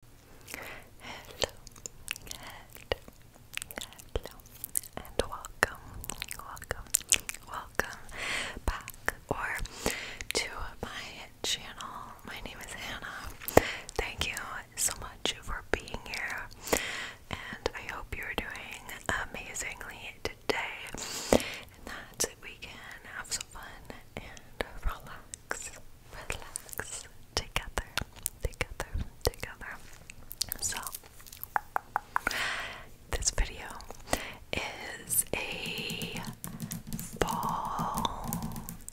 Hello, hello, and welcome, welcome, welcome back or to my channel. My name is Hannah. Thank you so much for being here, and I hope you're doing amazingly today and that we can have some fun and relax, relax, together, together, together. So, this video is a fall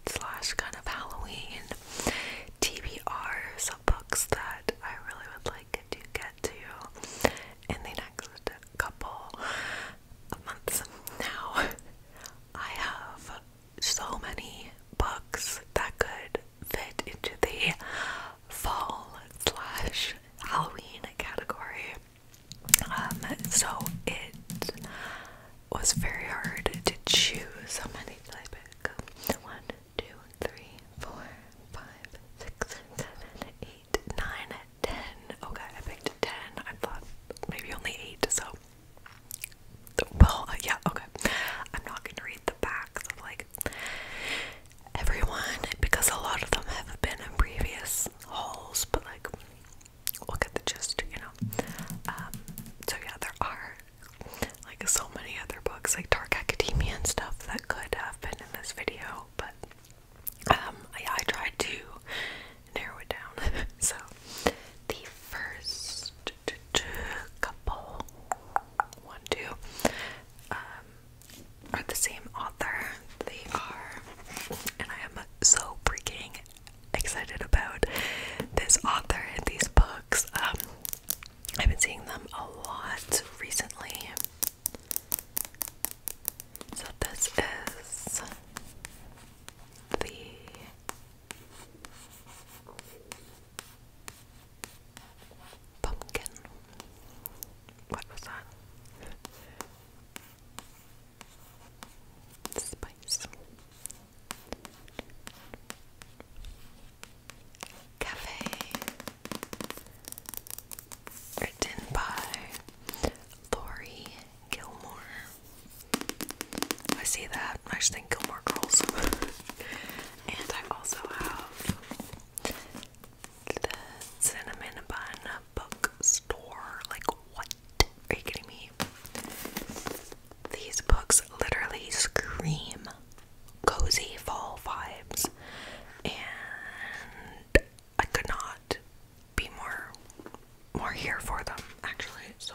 slash kind of Halloween TBRs of books that I really would like to get to in the next couple of months. Now, I have so many books that could fit into the fall slash Halloween category. Um, so it was very hard to choose how many did I One, two, three, four, five, six, seven, eight, nine, ten. Okay, I picked ten. I thought maybe only eight, so well, uh, yeah, okay. I'm not gonna read the backs of like everyone because a lot of them have been in previous holes, but like look at the gist, you know. Um, so yeah, there are like so many other books, like Dark Academia and stuff, that could have been in this video, but um, I tried to narrow it down. so, the first couple, one, two, um, are the same author. They are, and I am so freaking excited about this author and these books. Um, I've been seeing them a lot recently. So, this is the Pumpkin. What was that? Spice. Cafe. Written by Lori Gilmore. I see that. I just think more Girls. and I also have the Cinnamon Bun Bookstore. Like, what? Are you kidding me? These books literally scream cozy fall vibes, and I could not be more more here for them actually. So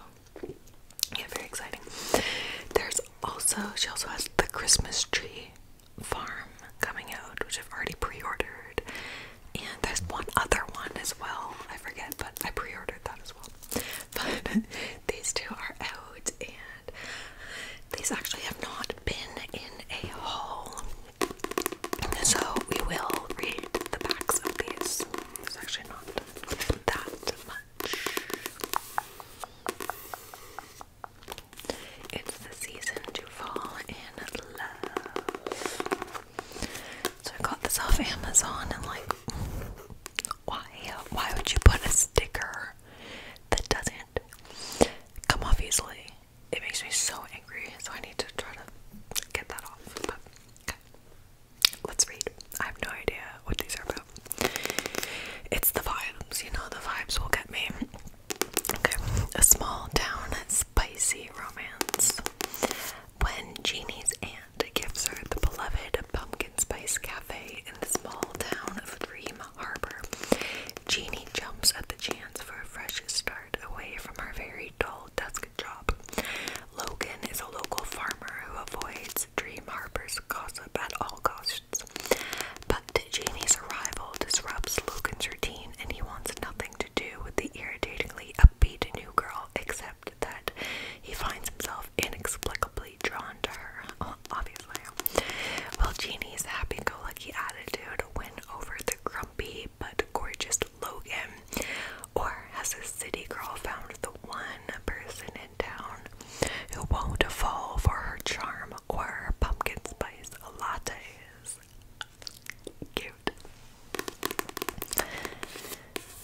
yeah, very exciting. There's also she also has the Christmas tree farm coming out, which I've already pre-ordered. And there's one other one as well. I forget, but I pre-ordered that as well. But these two are out and these actually have not been in a haul. So we will read the backs of these it's actually not that much. It's the season to fall in love. So I got this off Amazon and like why why would you put a sticker that doesn't come off easily? It makes me so angry, so I need to try to get that off. Let's read. I have no idea what these are about. It's the vibes, you know, the vibes will get me. Okay. A small town spicy romance. When Jeannie's aunt gives her the beloved pumpkin spice cafe in the small town of Dream Harbor, Jeannie jumps at the chance for a fresh start away from her very dull, desk. Logan is a local farmer who avoids Dream Harper's gossip at all costs. But Jamie's arrival disrupts Logan's routine and he wants nothing to do with the irritatingly upbeat new girl except that he finds himself inexplicably drawn to her, well, obviously. Well, Jeannie's happy-go-lucky attitude went over the grumpy but gorgeous Logan, or has a city girl found the one person in town who won't fall for her charm or her pumpkin spice lattes? Cute.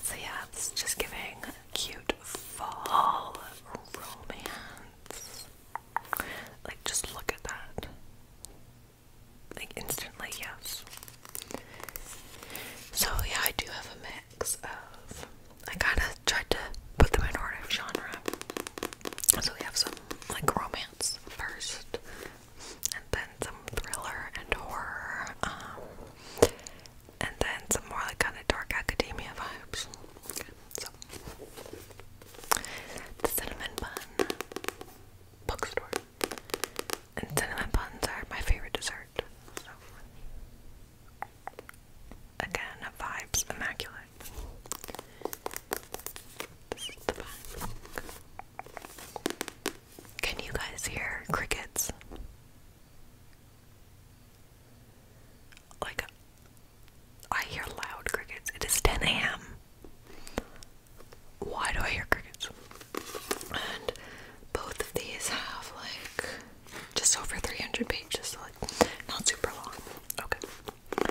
So, yeah, just giving cute fall romance. Like, just look at that like instantly yes. So yeah, I do have a mix of I kinda tried to put the minority of genre. So we have some like romance first and then some thriller and horror. Um, and then some more like kinda dark academia vibes. so the cinnamon bun bookstore. And cinnamon buns are my favorite dessert. So. Again, vibes immaculate. Can you guys hear crickets? Like, I hear loud crickets. It is 10 a.m why do I hear crickets? And both of these have like just over 300 pages, like not super long. Okay.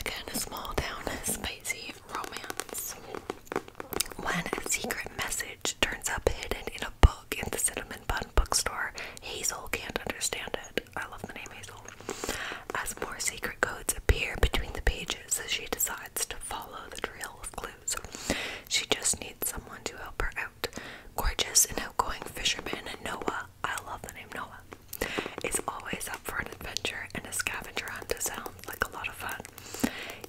Again, a small town spicy romance. When a secret message turns up hidden in a book in the Cinnamon Bun bookstore, Hazel can't understand it. I love the name Hazel. As more secret codes appear between the pages, so she decides to follow the trail of clues. She just needs someone to help her out. Gorgeous and outgoing fisherman Noah, I love the name Noah, is always up for an adventure, and a scavenger hunt sounds like a lot of fun.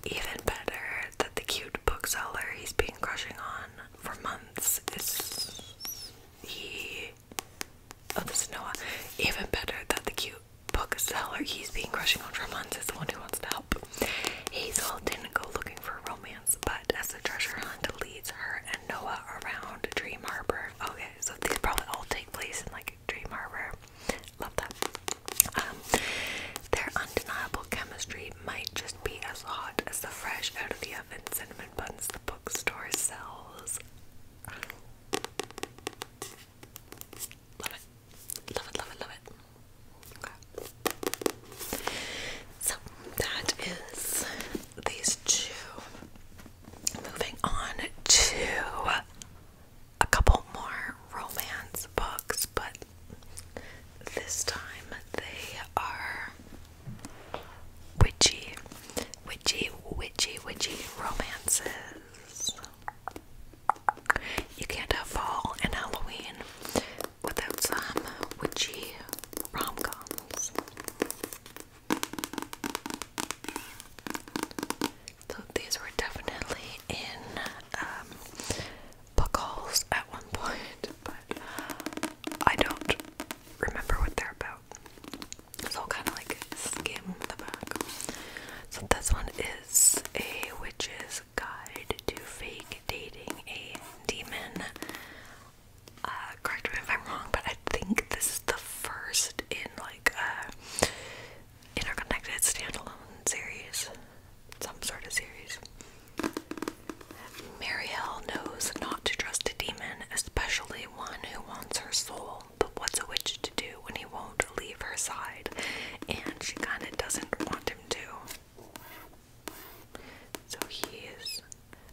Even better that the cute bookseller he's been crushing on for months is he. Oh, this is Noah. Even better that the cute book seller he's been crushing on for months is the one who wants to help. Hazel didn't go looking for romance, but as the treasure hunt leads her and Noah around Dream Harbor. Okay, so these probably all take place in like Dream Harbor. Love that. Um, their undeniable chemistry might just be as hot as the fresh out of the oven cinnamon buns the bookstore sells. Love it. Love it, love it, love it. Okay. So that is these two. Moving on to a couple more romance books, but this time they are witchy, witchy, witchy, witchy romances. You can't have fall and Halloween without some witchy romcoms. So these were definitely in um, book hauls at one point, but I don't remember what they're about. So kind of like skim the back. So this one is a witch's guide to fake dating a demon. Uh, correct me if I'm wrong, but I think this is the first in like a interconnected standalone series, some sort of series. Marielle knows not to trust a demon, especially one who wants her soul but what's a witch to do when he won't leave her side? And she kind of doesn't want him to. So he is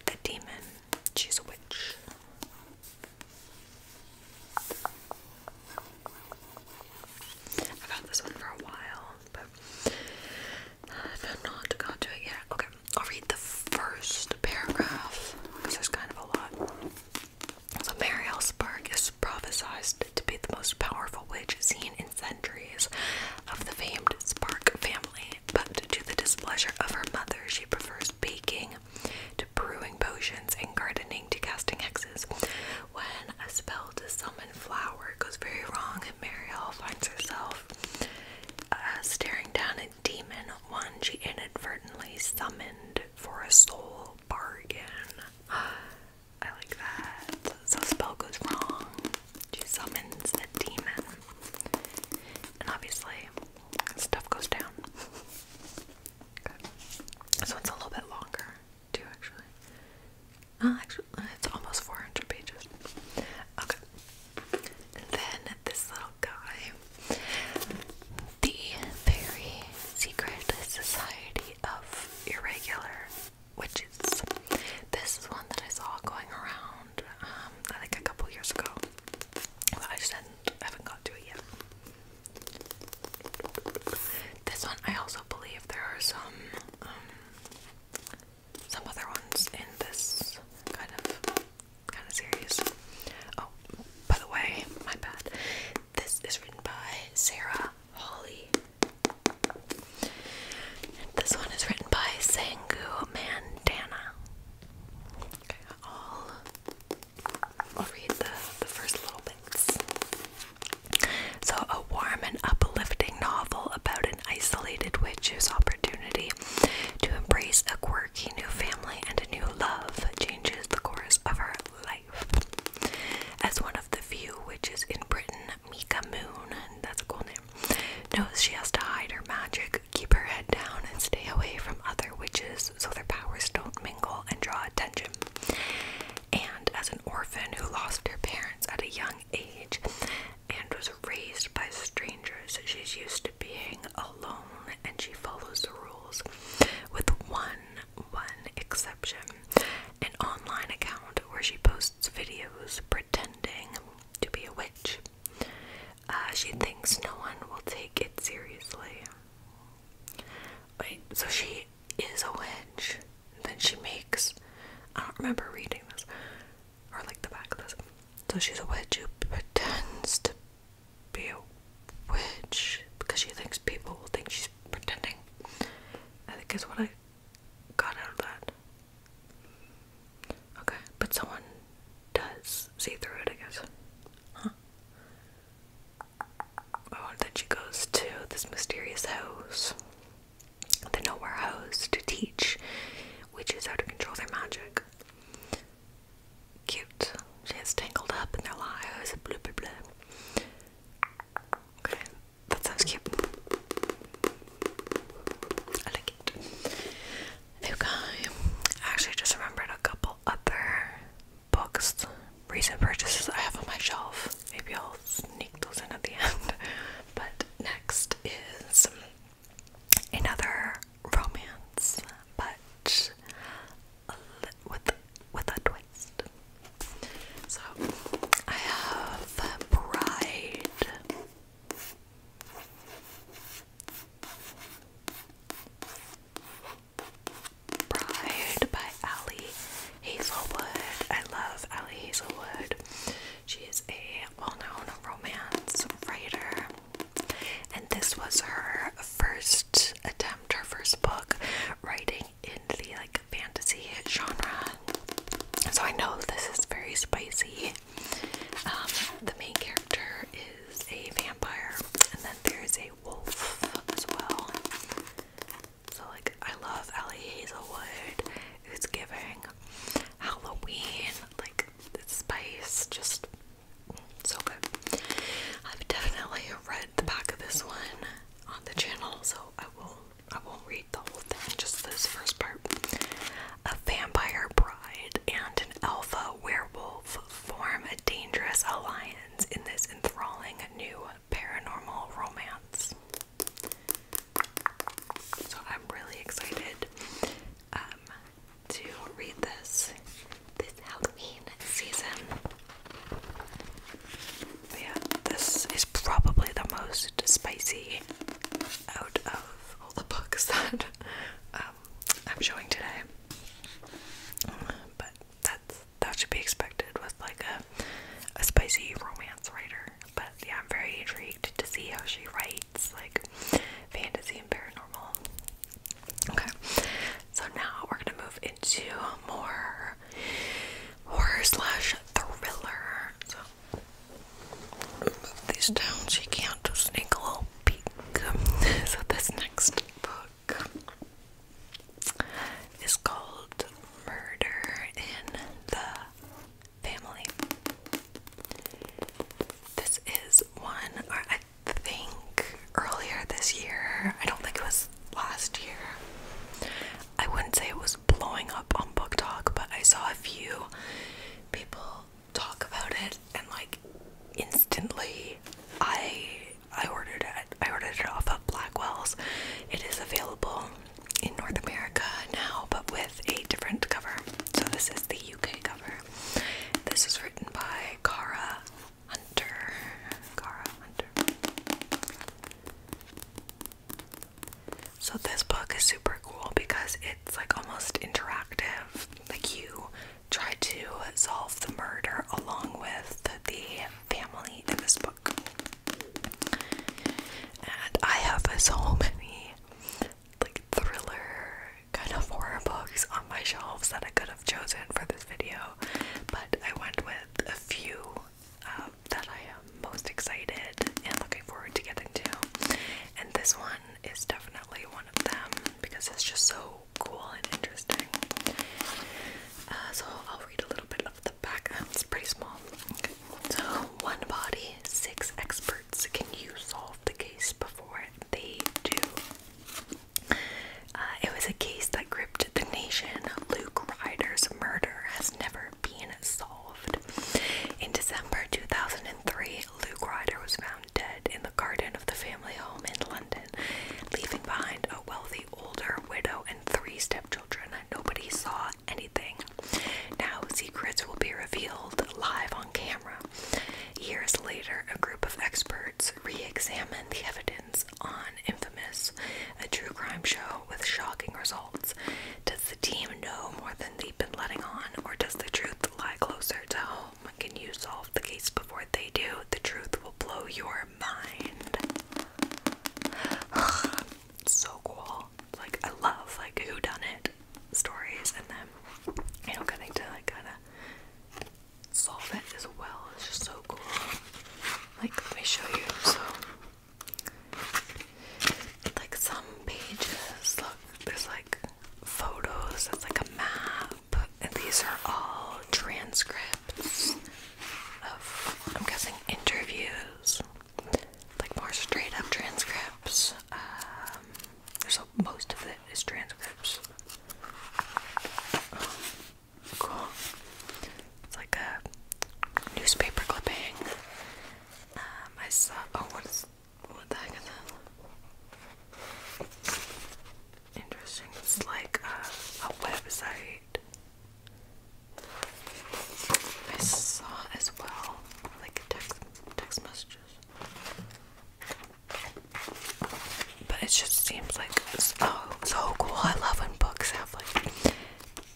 the demon, she's a witch. I've had this one for a while, but I've not got to it yet. Okay, I'll read the first paragraph because there's kind of a lot. So Marielsburg is prophesied to be the most powerful witch seen in centuries of the famed Spark family, but to the displeasure of her mother, she prefers baking to brewing potions and gardening to casting hexes. When a spell to summon flower goes very wrong, Mariel finds herself uh, staring down a demon, one she inadvertently summoned for a soul Spell bargain. I like that. So spell goes wrong. She summons the demon. And obviously stuff goes down. okay. So it's a little bit longer too actually. actually it's almost 400 pages. Okay. And then this little guy the very secret society of irregular witches. This is one that I saw going around um, I a couple years ago. But I just haven't got to it yet. This one I also believe there are some um, some other ones in this kind of kind of serious. Oh, by the way, my bad. This is written by Sarah Holly. This one is written by Sangu Mandana. Okay, I'll, read the, the first little bits. So, a warm and uplifting novel about an isolated witch whose opportunity to embrace a quirky new family and a new love changes the course of her life. As one of the few witches in Britain, Mika Moon, that's a cool name, knows she has to hide her magic, keep her head down, and stay away from other witches so their powers don't mingle and draw attention. And as an orphan who lost her parents at a young age and was raised by strangers, she's used to being alone and she follows the rules with one one exception an online account where she posts videos pretending to be a witch uh, she thinks no one will take it seriously wait so she is a witch then she makes i don't remember reading this or like the back of this so she's a witch who pretends to be a witch because she thinks people will think she's pretending. I think is what I got out of that. Okay, but someone does see through it, I guess. Huh? Oh, and then she goes to this mysterious house, the nowhere house, to teach witches how to control their magic cute. She has tangled up in their lives. Blah blah blah. Okay, that sounds cute. I like it. Okay, I actually just remembered a couple other books, recent purchases I have on my shelf. Maybe I'll sneak those in at the end. But next is another romance, but with with a twist. So I have Bride. Bride by Allie Hazelwood. I love Allie Hazelwood. She is a well known romance writer. And this was her first attempt, her first book writing in the like fantasy genre. So I know this is very spicy. Um, the main character is a vampire, and then there's a wolf as well. So like I love Ellie Hazelwood. It's giving Halloween, like spice, just so good. I've definitely read the back of this one on the channel, so I will I won't read the whole thing, just this first part. A vampire bride and an alpha werewolf form a dangerous alliance in this enthralling new paranormal romance. So I'm really excited. Um, to read this this Halloween season. yeah, this is probably the most spicy out of all the books that um, I'm showing today. But that's that should be expected with like a a spicy romance writer. But yeah, I'm very intrigued to see how she writes like fantasy and paranormal. Okay, so now we're gonna move into more horror slash thriller. So these down so can't just sneak a little peek. So this next book is called Murder in the Family. This is one, think earlier this year, I don't think it was last year. I wouldn't say it was blowing up on Book Talk, but I saw a few people talk about it and like instantly I I ordered it. I ordered it off of Blackwell's. It is available in North America now, but with a different cover. So this is the UK cover. This is written by Kara Hunter. Cara Hunter. So this book is super cool because it's like almost interactive. Like you try to solve the murder along with the family in this book. And I have so many like thriller kind of horror books on my shelves that I could have chosen for this video, but I went with a few um, that I am most excited and looking forward to getting to. And this one is definitely one of them because it's just so cool and interesting. Uh, so I'll read a little bit of the back. it's pretty small. So, one body, six experts courts. Can you solve the case before they do? Uh, it was a case that gripped the nation. Luke Ryder's murder has never been solved. In December 2003, Luke Ryder was found dead in the garden of the family home in London, leaving behind a wealthy older widow and three stepchildren. Nobody saw anything. Now secrets will be revealed live on camera. Years later, a group of experts re examined the evidence on Infamous, a true crime show with shocking results. Does the team know more than they've been letting on, or does the truth lie closer to home? Can you solve the case before they do? The truth will blow your mind. so cool. Like I love like who done it stories and then, you know, getting to like kind of solve it as well. It's just so cool. Like, let me show you. So, like, some pages look, there's like photos, that's like a map, and these are all transcripts of, I'm guessing, interviews. Like more straight up transcripts um, so most of it is transcripts. Um, cool. It's like a newspaper clipping. Um, I saw. Oh, what is? What the heck is that? Interesting. It's like a, uh, a website. I saw as well, like text text messages. But it just seems like it's so cool. I love when books have like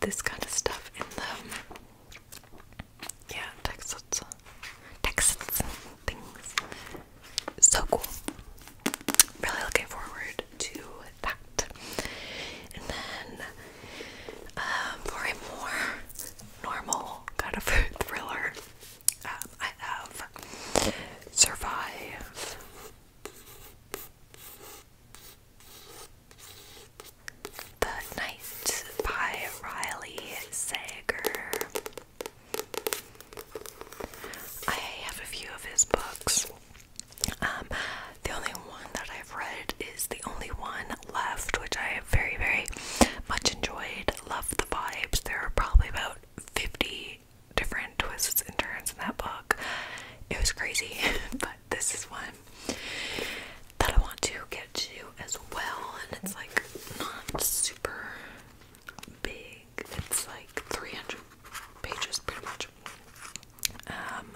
this kind of stuff in them. Yeah, texts, texts, things. So cool. Really looking forward to that. And then um, for a more normal kind of thriller, um, I have Survive. The Night by Riley Sager. I have a few of his books. Um, the only one that I've read is the only one left, which I very, very much enjoyed. Loved the vibes. There are probably about 50 different twists and turns in that book. It was crazy, but this is one that I want to get to as well. And it's like not super big, it's like 300 pages pretty much. Um,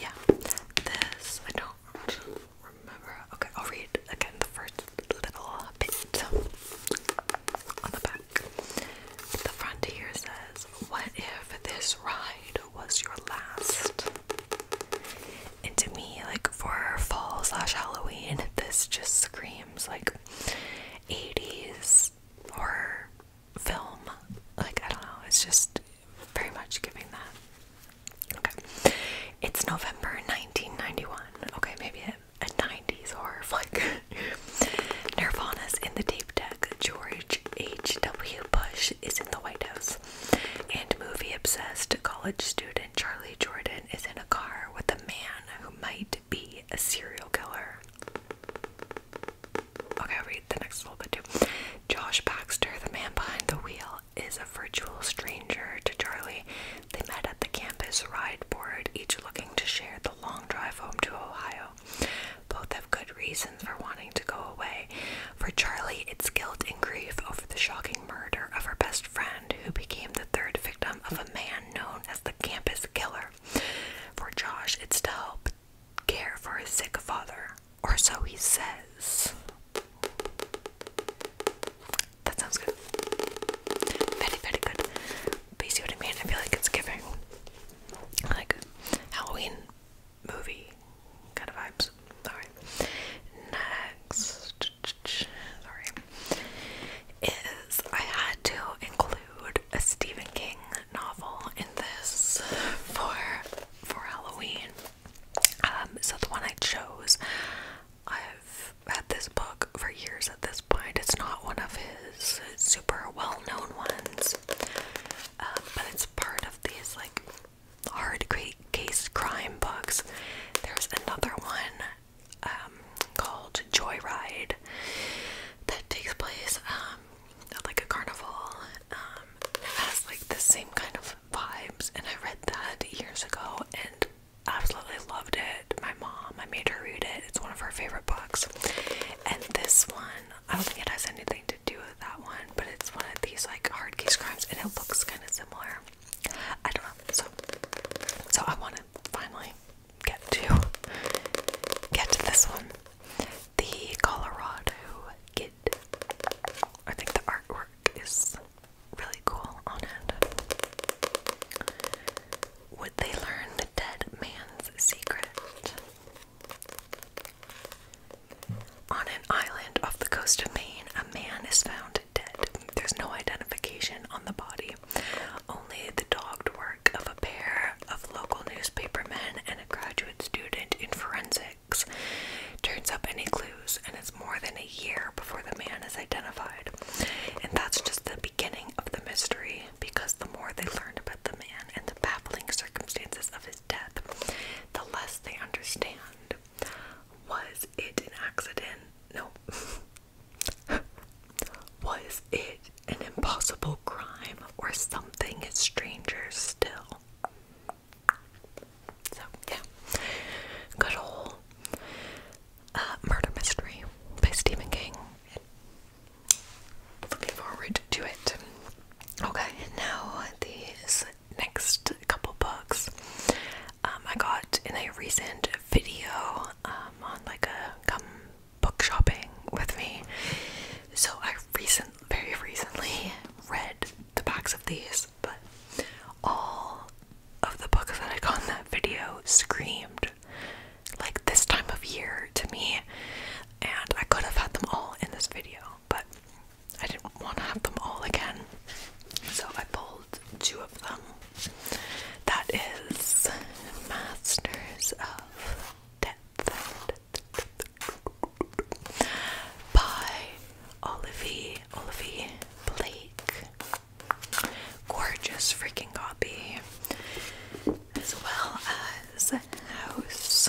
yeah, this I don't remember. Okay, I'll read again the first little bit on the back. The frontier says, What if this ride was your last? And to me, like for fall slash Halloween, this just screams like 80s horror film. Like, I don't know, it's just very much giving that. Okay. It's November 1991. Okay, maybe a, a 90s horror flick. Nirvana's in the tape deck. George H.W. Bush is in the White House. And movie obsessed college student Charlie Jordan is in a car with a man who might be a serial killer. Okay, read the next little bit too. Josh Baxter, the man behind the wheel, is a virtual stranger to Charlie. They met at the campus ride board, each looking to share the long drive home to Ohio. Both have good reasons for wanting to go away. For Charlie, it's guilt and grief over the shocking murder of her best friend, who became the third victim of a man known as the campus killer. For Josh, it's to help care for his sick father. Or so he says. That sounds good. Very, very good. you see what I mean? I feel like it's giving like Halloween movie kind of vibes. Alright. Next sorry is I had to include a Stephen King novel in this for for Halloween. Um, so the one I chose, I've had this book for years at this point. It's not one of his super well-known ones, um, but it's part of these like hard case crime books. There's another one um, called Joyride that takes place at like a carnival. Um, it has like the same kind of vibes, and I read that years ago and absolutely loved it. My mom, I made her read it. It's one of her favorite books. And this one, I don't think it has anything to do with that one, but it's one of these like hard case crimes, and it looks kind of similar. I don't know. So, so I want to finally get to get to this one. The Colorado Kid I think the artwork is really cool on it. Would they learn the dead man's secret? On an island off the coast of Maine, a man is found dead. There's no identification on the body, only the dogged work of a pair of local newspapermen and a graduate student in forensics turns up any clues, and it's more than a year before the man is identified. And that's just the beginning of the mystery because the more they learn about the man and the baffling circumstances of his death, the less they understand. Was it an accident? No. Was it an impossible crime or something stranger still? So yeah, good old uh, murder mystery by Stephen King. Looking forward to it. Okay, now these next couple books um, I got in a recent video um, on like a come book shopping with me. So I recent, very recently read the backs of these but all of the books that I got in that video screamed like this time of year to me, and I could have had them all in this video, but I didn't want to have them all again, so I pulled two of them. That is Masters of Death by Olivie, Olivie Blake. Gorgeous freaking copy. As well as House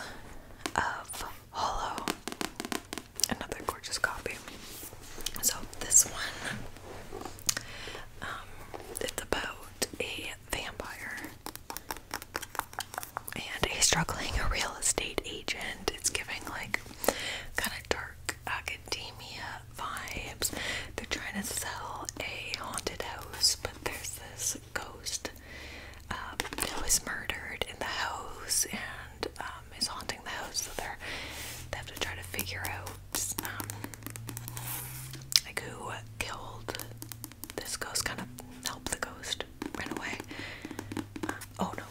of Hollow. Another gorgeous copy. So this one, um, it's about a vampire and a struggling real estate agent. It's giving like kind of dark academia vibes. They're trying to sell a haunted house, but there's this ghost that um, was murdered in the house and um, is haunting the house. So they have to try to figure out um, like who killed this ghost. Kind of help the ghost ran away. Uh, oh no,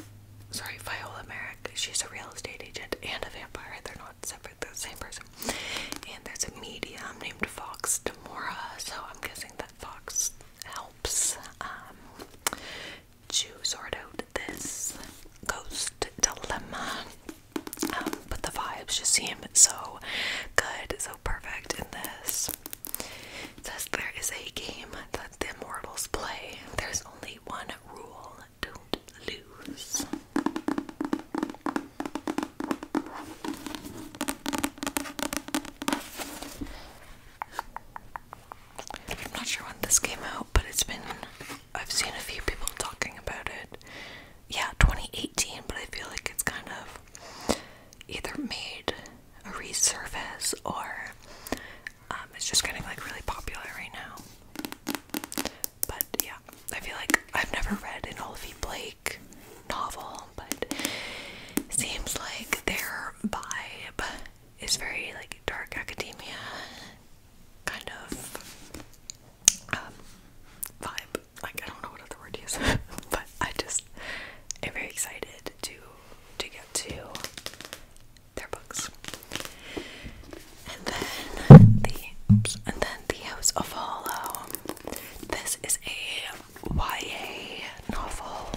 sorry, Viola Merrick. She's a real estate agent and a vampire. They're not separate, the same person. And there's a medium named Fox Demora, so I'm guessing that Fox helps um, to sort out this ghost dilemma. Um, but the vibes just seem so good, so perfect in this. says there is a game that the mortals play, there's only one rule don't lose. I'm not sure when this came out, but it's been. I've seen a few people talking about it. Yeah, 2018, but I feel like it's kind of either made resurface or um, it's just getting like really popular right now. But yeah, I feel like I've never read an Olivia Blake novel, but seems like their vibe is very like dark academia kind of um, vibe. Like I don't know what other word to use, but I just am very excited to to get to their books. And then the and then the House of Hollow. This is a YA novel,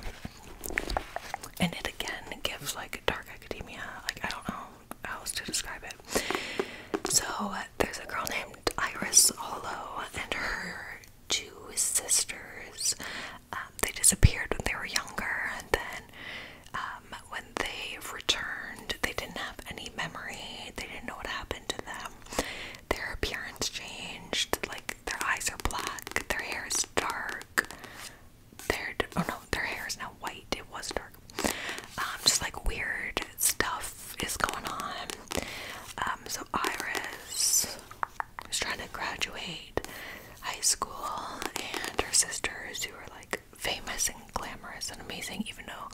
and it again gives like a dark academia. Like I don't know how else to describe it. So there's a girl named Iris Hollow, and her two sisters. Um, they disappeared when they were younger, and then um, when they returned, they didn't have any memory. They didn't know what happened to them. Their appearance changed. Like their eyes are black. Their hair is dark. Their oh no, their hair is now white. It was dark. Um, just like weird stuff is going on. so Iris who's trying to graduate high school, and her sisters who are like famous and glamorous and amazing, even though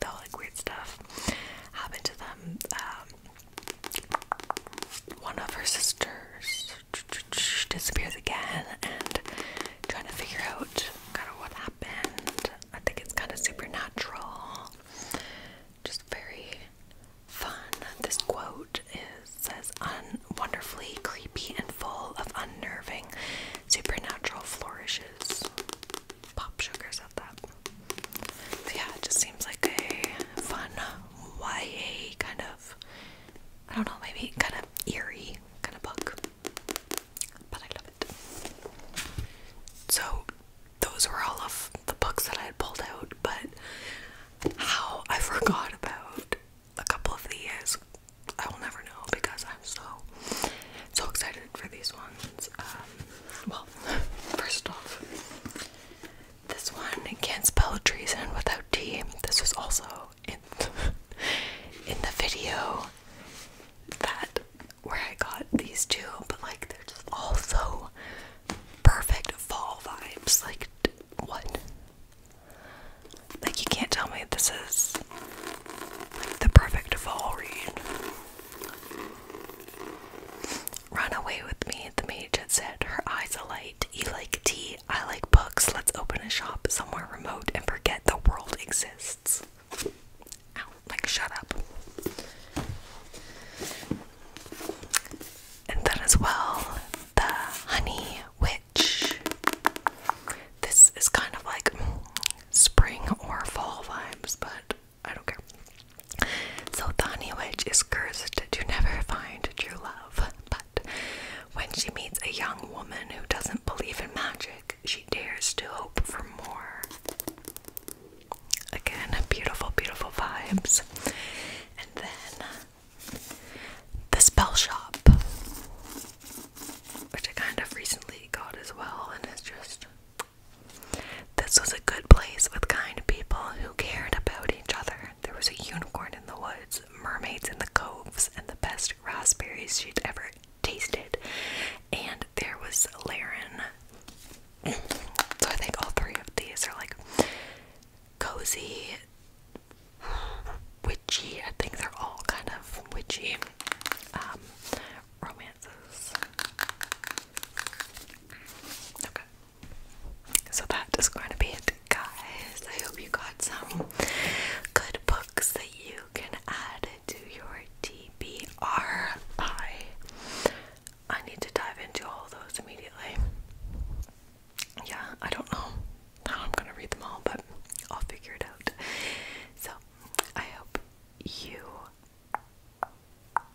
they all like weird stuff happened to them. Um, one of her sisters disappears again, and trying to figure out kind of what happened. I think it's kind of supernatural, just very fun. This quote is says un wonderfully creepy and full of unnerving supernatural flourishes. Pop sugar said that. So yeah, it just seems like a fun YA kind of I don't know, maybe kind of eerie kind of book. But I love it. So those were all of the books that I had pulled out, but how I forgot about a couple of these, I will never know because I'm so so excited for these ones. Um, well, first off, this one can't spell treason without T. This was also in in the video that where I got these two, but like they're just all so perfect fall vibes. Like, what? Like, you can't tell me this is like, the perfect fall read. Run away with me, the mage had said, her eyes alight. You like tea, I like books. Let's open a shop somewhere remote and forget the world exists. like, shut up and then as well the honey witch. This is kind of like spring or fall vibes, but I don't care. So the honey witch is cursed to never find true love, but when she meets a young woman who doesn't believe in magic, she dares to hope for more. Again, beautiful, beautiful vibes. And then the spell shop, which I kind of recently got as well, and it's just this was a good place with kind people who cared about each other. There was a unicorn in the woods, mermaids in the coves, and the best raspberries she'd ever tasted. And there was Laren, so I think all three of these are like cozy, witchy. I think they're all kind of witchy um, romances. Okay. So that is going to be it, guys. I hope you got some good books that you can add to your TBRI. I need to dive into all those immediately. Yeah, I don't know I'm gonna read them all, but I'll figure it out. So, I hope you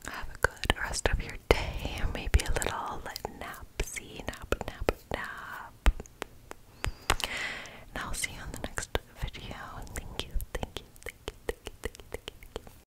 have a good rest of your day, or maybe a little napsy nap, nap, nap. And I'll see you on the next video. Thank you, thank you, thank you, thank you, thank you, thank you.